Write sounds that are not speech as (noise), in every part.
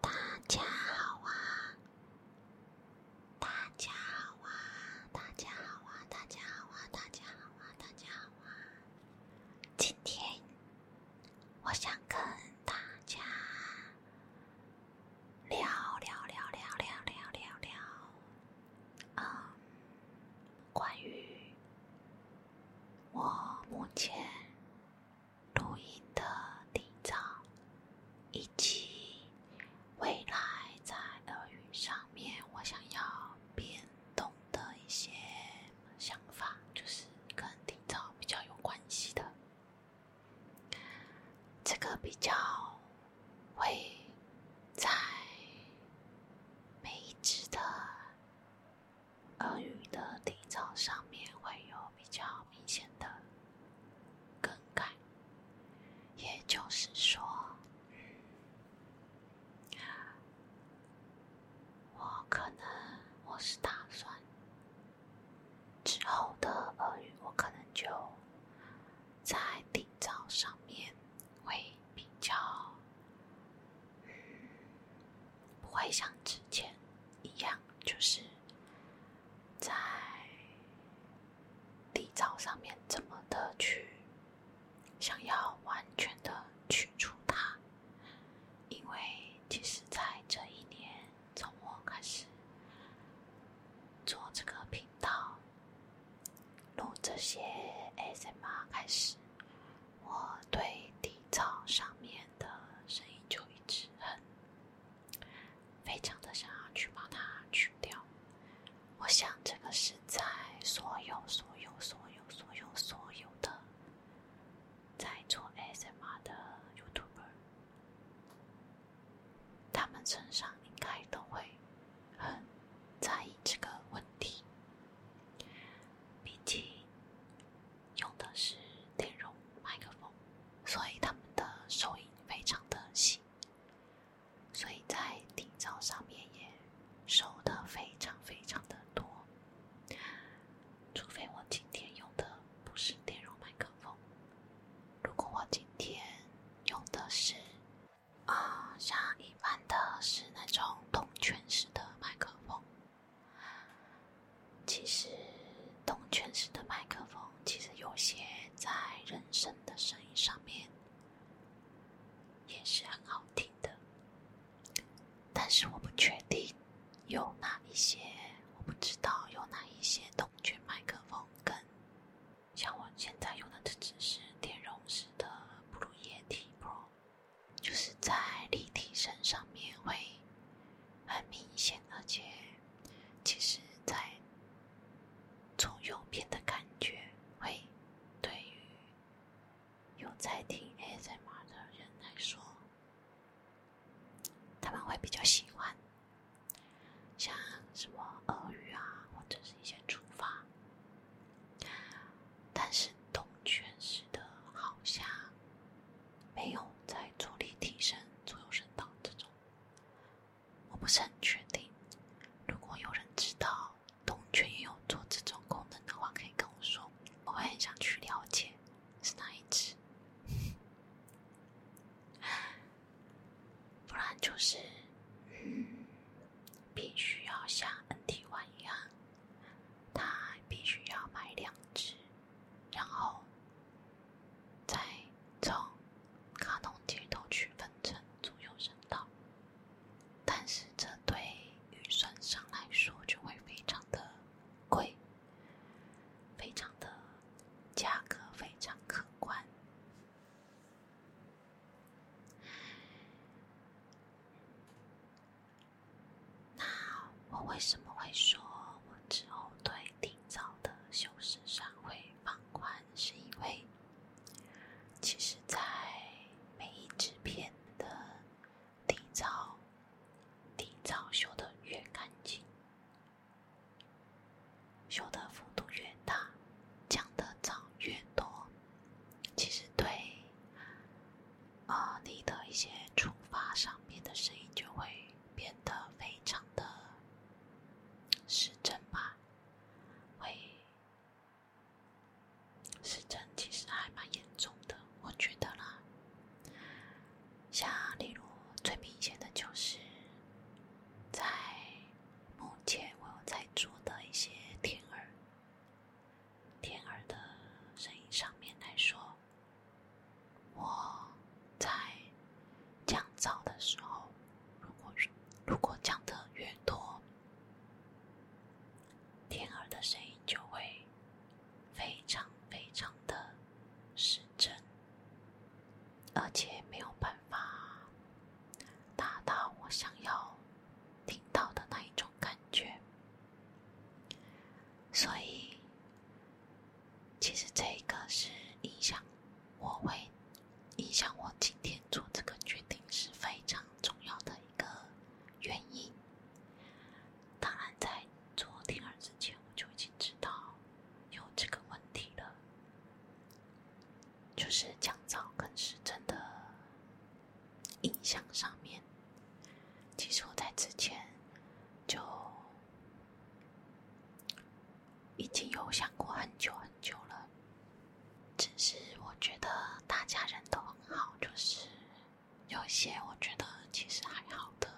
大家好啊！大家好啊！大家好啊！大家好啊！大家好啊！大家好啊！今天我想跟大家聊聊聊聊聊聊聊聊，嗯，关于我目前。录音的定稿，以及未来在俄语上面我想要变动的一些想法，就是跟定稿比较有关系的。这个比较会在每一只的。俄语的底造上面会有比较明显的更改，也就是说，我可能我是打算之后的俄语，我可能就在听造上面会比较，嗯，不像之前。一样，就是在底噪上面怎么的去想要完全的去除它，因为其实，在这一年从我开始做这个频道、录这些 ASMR 开始，我对底噪上面。的声音就一直很非常的想要去把它去掉，我想这个是在所有所有所有所有所有的在做 ASMR 的 YouTuber 他们身上应该都会很在意这个问题毕竟用的是电容麦克风，所以他们的收音非常的细，所以在底噪上面也收的非常非常的多。除非我今天用的不是电容麦克风，如果我今天用的是啊，像一般的，是那种铜圈式的麦克风。其实动圈式的麦克风，其实有些在人声的声音上面也是很好听的，但是我不确定有哪一些，我不知道有哪一些动圈麦克风跟像我现在用的这只是电容式的布鲁液 T Pro。就是在立体声上面会很明显，而且其实，在从右边的感觉会对于有在听 ASMR 的人来说，他们会比较喜欢，像什么俄语啊，或者是一些厨房，但是动圈式的好像。没有在助力提升左右声道这种，我不是很确定。如果有人知道东圈也有做这种功能的话，可以跟我说，我会很想去了解是哪一只。(laughs) 不然就是，嗯，必须要像 n t One 一样。他必须要买两只，然后再从卡通街头去分成左右声道，但是这对预算上来说就会非常的贵，非常的价格非常可观。那我为什么会说我之后对底噪的修饰上会放宽？是因为，其实，在每一支片的底噪，底噪修的越干净，修的幅度越大，降的噪越多，其实对。啊，你的一些触发上面的声音就会变得非常的失真吧？会失真，其实还蛮严重的，我觉得啦。像例如最明显的就是，在目前我有在做的一些天耳。天儿的声音上面来说，我在降噪的时候，如果如果降得越多，天儿的声音就会非常非常的失真，而且没有办法达到我想要听到的那一种感觉。所以，其实这个是影响我会影响我今天做这个决定是非常重要的一个原因。当然，在做第二之前，我就已经知道有这个问题了，就是降噪更是真的。印象上面，其实我在之前就已经有想过很久很久了。只是我觉得大家人都很好，就是有一些我觉得其实还好的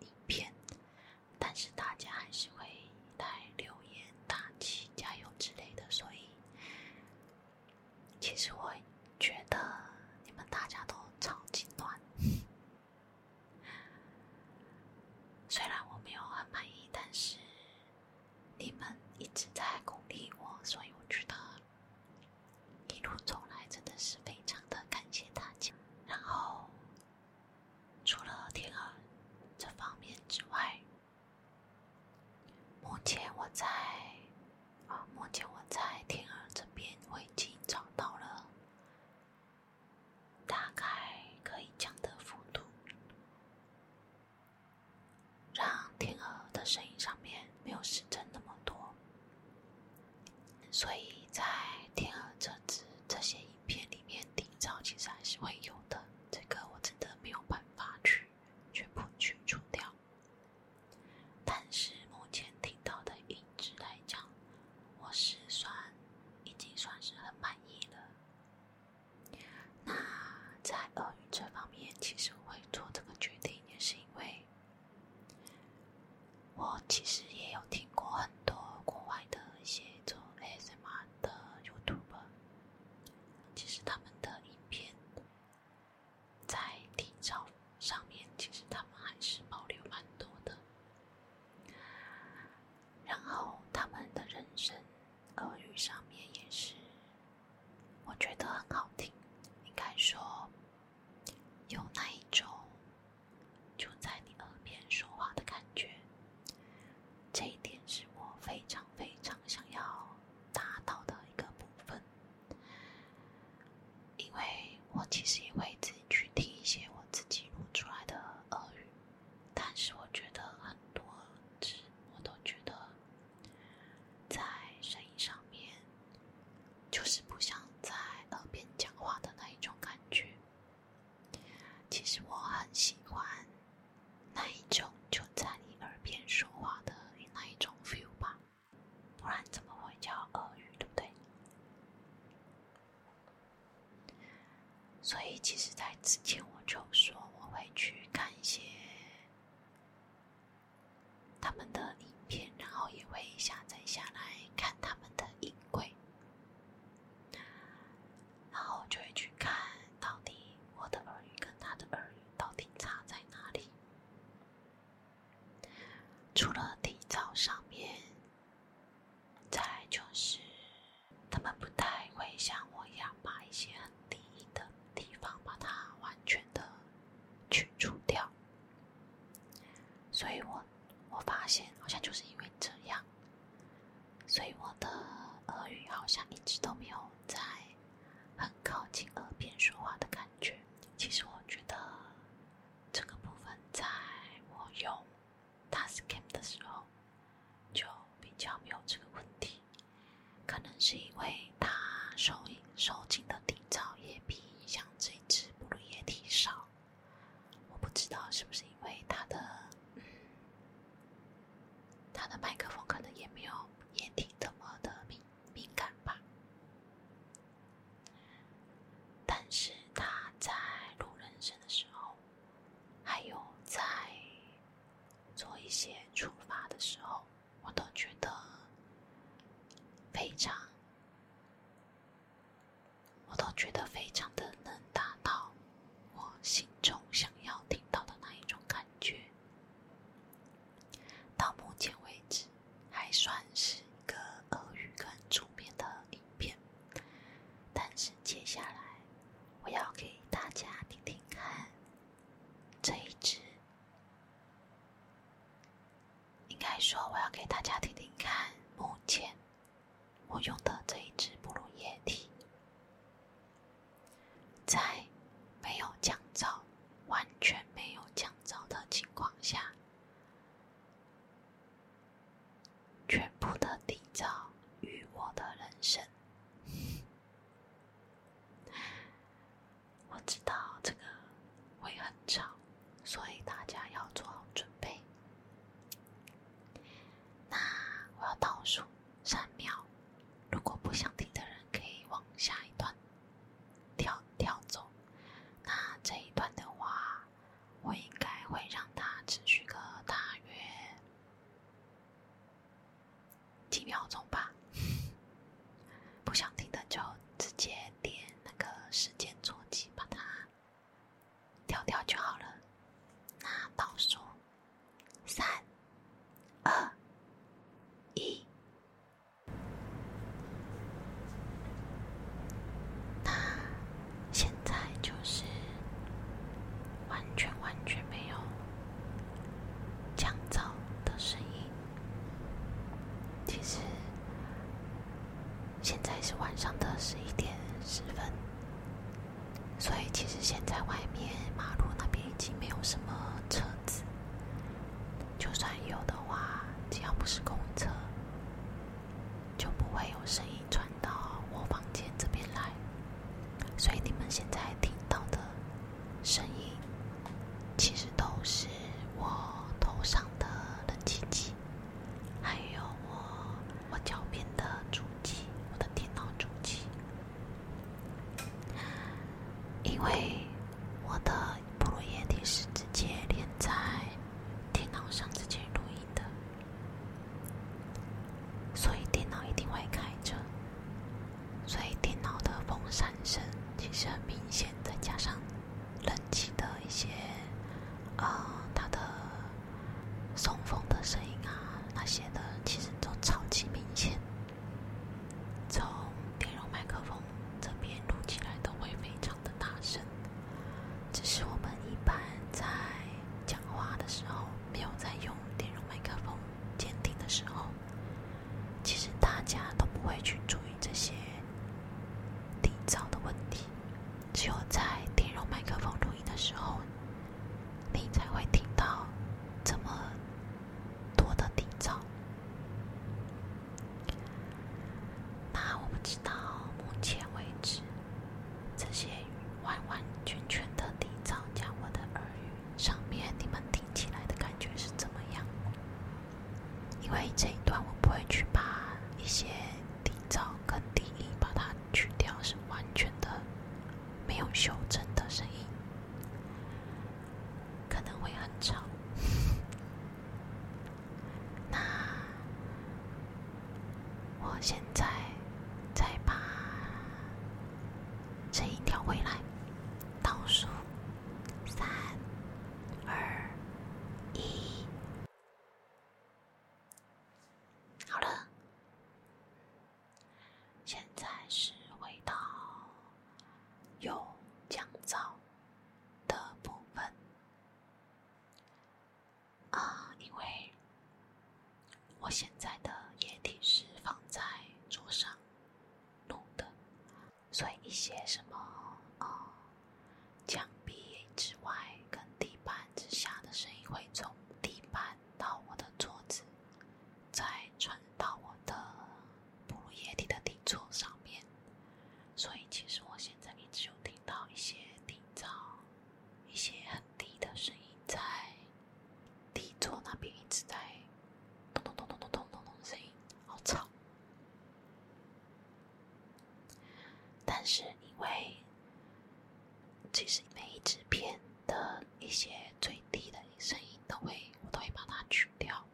影片，但是大家还是会来留言、打气、加油之类的，所以。其实我觉得你们大家都超级暖，(laughs) 虽然我没有很满意，但是你们一直在鼓励我，所以我觉得一路走来真的是非常的感谢大家。然后除了天儿这方面之外，目前我在啊，目前我在天鹅这边，我已经找到了大概可以降的幅度，让天鹅的声音上面没有失真那么多。所以在天鹅这只这些影片里面，底噪其实还是会有的，这个我真的没有办法去全部去除掉。但是目前听到的音质来讲，我是算已经算是很满意了。那在俄语这方面，其实会做这个决定，也是因为，我其实也有听过很多国外的一些做 ASMR 的 YouTuber，其实他们的影片。在体操上面，其实他们还是保留蛮多的。然后他们的人声、耳语上面也是，我觉得很好听。应该说，有那一种就在你耳边说话的感觉。这一点是我非常非常想要。达到的一个部分，因为我其实也会自己去听一些我自己录出来的俄语，但是我觉得很多字我都觉得在声音上面就是不像在耳边讲话的那一种感觉。其实我很喜欢。那一种就在你耳边说话的那一种 feel 吧，不然怎么会叫耳语，对不对？所以其实，在之前我就说我会去看一些他们的影片，然后也会下载下来看他们的音轨，然后就会去看到底我的耳语跟他的耳语。到底差在哪里？除了体操上面，再来就是他们不太会像我一样把一些很低的地方把它完全的去除掉，所以我我发现好像就是因为这样，所以我的俄语好像一直都没有在。很靠近耳边说话的感觉。其实我觉得这个部分在我用 t a s c a n 的时候就比较没有这个问题，可能是因为它收收进的底噪也比像这支布鲁也体少。我不知道是不是因为它的嗯。他的麦克风可能也没有，也挺怎么的敏敏感吧。但是他在录人声的时候，还有在做一些处罚的时候，我都觉得非常，我都觉得非常的能达到我心中想要听到的那一种感觉。到目前为止，还算是一个俄语跟出编的影片，但是接下来我要给大家听听看这一支。应该说，我要给大家听听看目前我用的这一支哺乳液体。在没有降噪，完全没有降噪的情况下，全部的底噪与我的人生。我知道这个会很吵，所以大家要做好准备。那我要倒数。三秒，如果不想听的人可以往下一段跳跳走。那这一段的话，我应该会让它持续个大约几秒钟吧。不想听的就直接点那个时间错机，把它跳跳就好了。那到数。三、二、一，那现在就是完全完全没有降噪的声音。其实现在是晚上的十一点十分。所以，其实现在外面马路那边已经没有什么车子，就算有的话，只要不是公车，就不会有声音传到我房间这边来。所以你们现在听到的声音，其实都是我头上的冷气机，还有我我脚边的主机，我的电脑主机。因为我的录音也是直接连在电脑上直接录音的，所以电脑一定会开着，所以电脑的风扇声其实很明显，再加上冷气的一些啊，它的。送风的声音啊，那些的，其实都超级明显。从电容麦克风这边录起来都会非常的大声。只是我们一般在讲话的时候，没有在用电容麦克风监听的时候，其实大家都不会去注意这些底噪的问题。只有在电容麦克风录音的时候。你才会听到这么多的低噪。那我不知道目前为止这些完完全全的低噪加我的耳语上面你们听起来的感觉是怎么样？因为这一段我不会去把一些低噪跟低音把它去掉，是完全的。没有修正的声音，可能会很吵。(laughs) 那我现在再把声音调回来，倒数：三、二、一。好了，现在是回到有降噪的部分啊，因为我现在的液体是放在桌上弄的，所以一些什么啊墙壁之外、跟地板之下的声音会从地板。到我的桌子，再传到我的哺乳液体的底座上面。所以其实我现在一直有听到一些底噪，一些很低的声音在底座那边一直在咚咚咚咚咚咚咚咚的声音，好吵。但是因为其实每一支片的一些最低的声音都会，我都会把它去掉。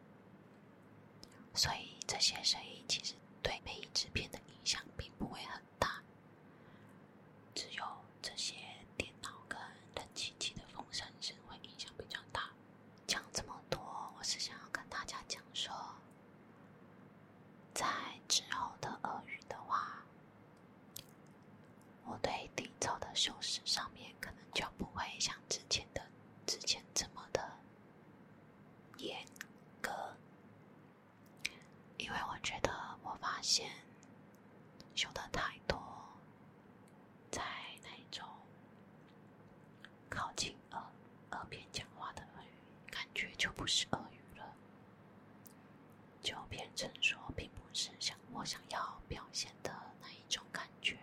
所以这些声音其实对每一支片的影响并不会很大。只有这些电脑跟冷气机的风扇声会影响比较大。讲这么多，我是想要跟大家讲说，在之后的俄语的话。我对低噪的修饰上面可能就不会像之前的之前这么的严格，因为我觉得我发现修的太多，在那种靠近耳耳边讲话的耳语，感觉就不是耳语了。就变成说，并不是像我想要表现的那一种感觉。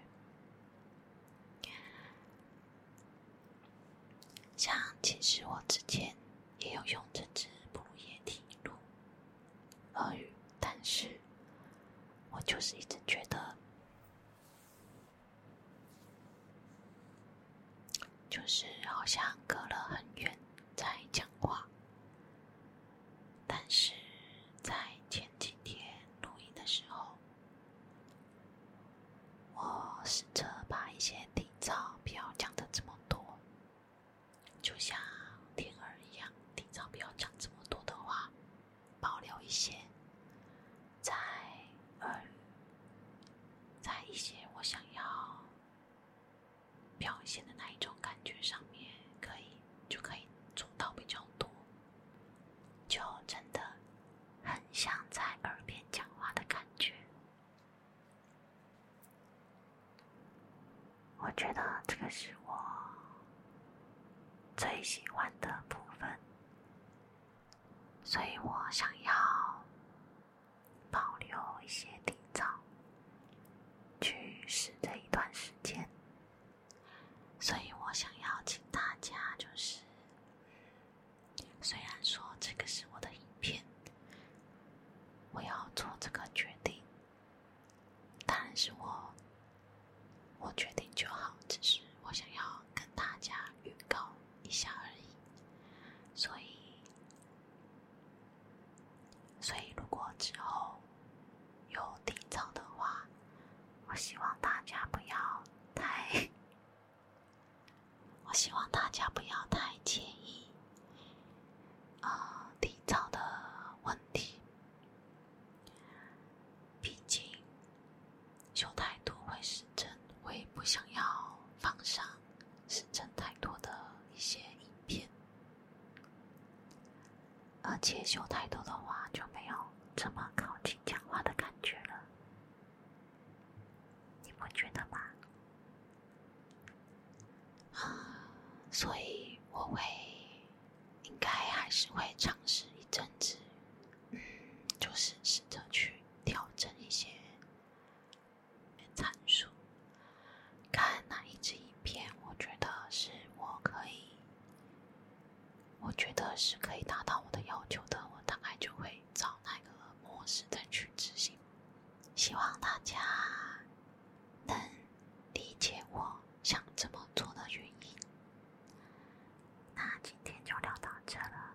像其实我之前也有用这支不夜天录俄语，但是我就是一直觉得。就是好像隔了很远在讲话，但是在前几天录音的时候，我试着把一些底噪不要讲的这么多，就像天儿一样，底噪不要讲这么多的话，保留一些，在耳，在一些我想要。表现的那一种感觉上面，可以就可以做到比较多，就真的很想在耳边讲话的感觉。我觉得这个是我最喜欢的部分，所以我想要。保留一些底噪，去试这一段时间。所以我想要请大家，就是，虽然说这个是我的影片，我要做这个决定，但是我，我决定就好。只是我想要跟大家预告一下而已，所以。所以，如果之后有低潮的话，我希望大家不要太…… (laughs) 我希望大家不要太介意啊低潮的问题。毕竟，修太多会失真，我也不想要放上。是真太多的一些影片，而且修太多的话就没有这么靠近讲话的感觉了，你不觉得吗？啊，所以我会应该还是会尝试一阵子，嗯，就是试着去调整一些。参数，看哪一支影片，我觉得是我可以，我觉得是可以达到我的要求的，我大概就会找那个模式再去执行。希望大家能理解我想这么做的原因。那今天就聊到这了。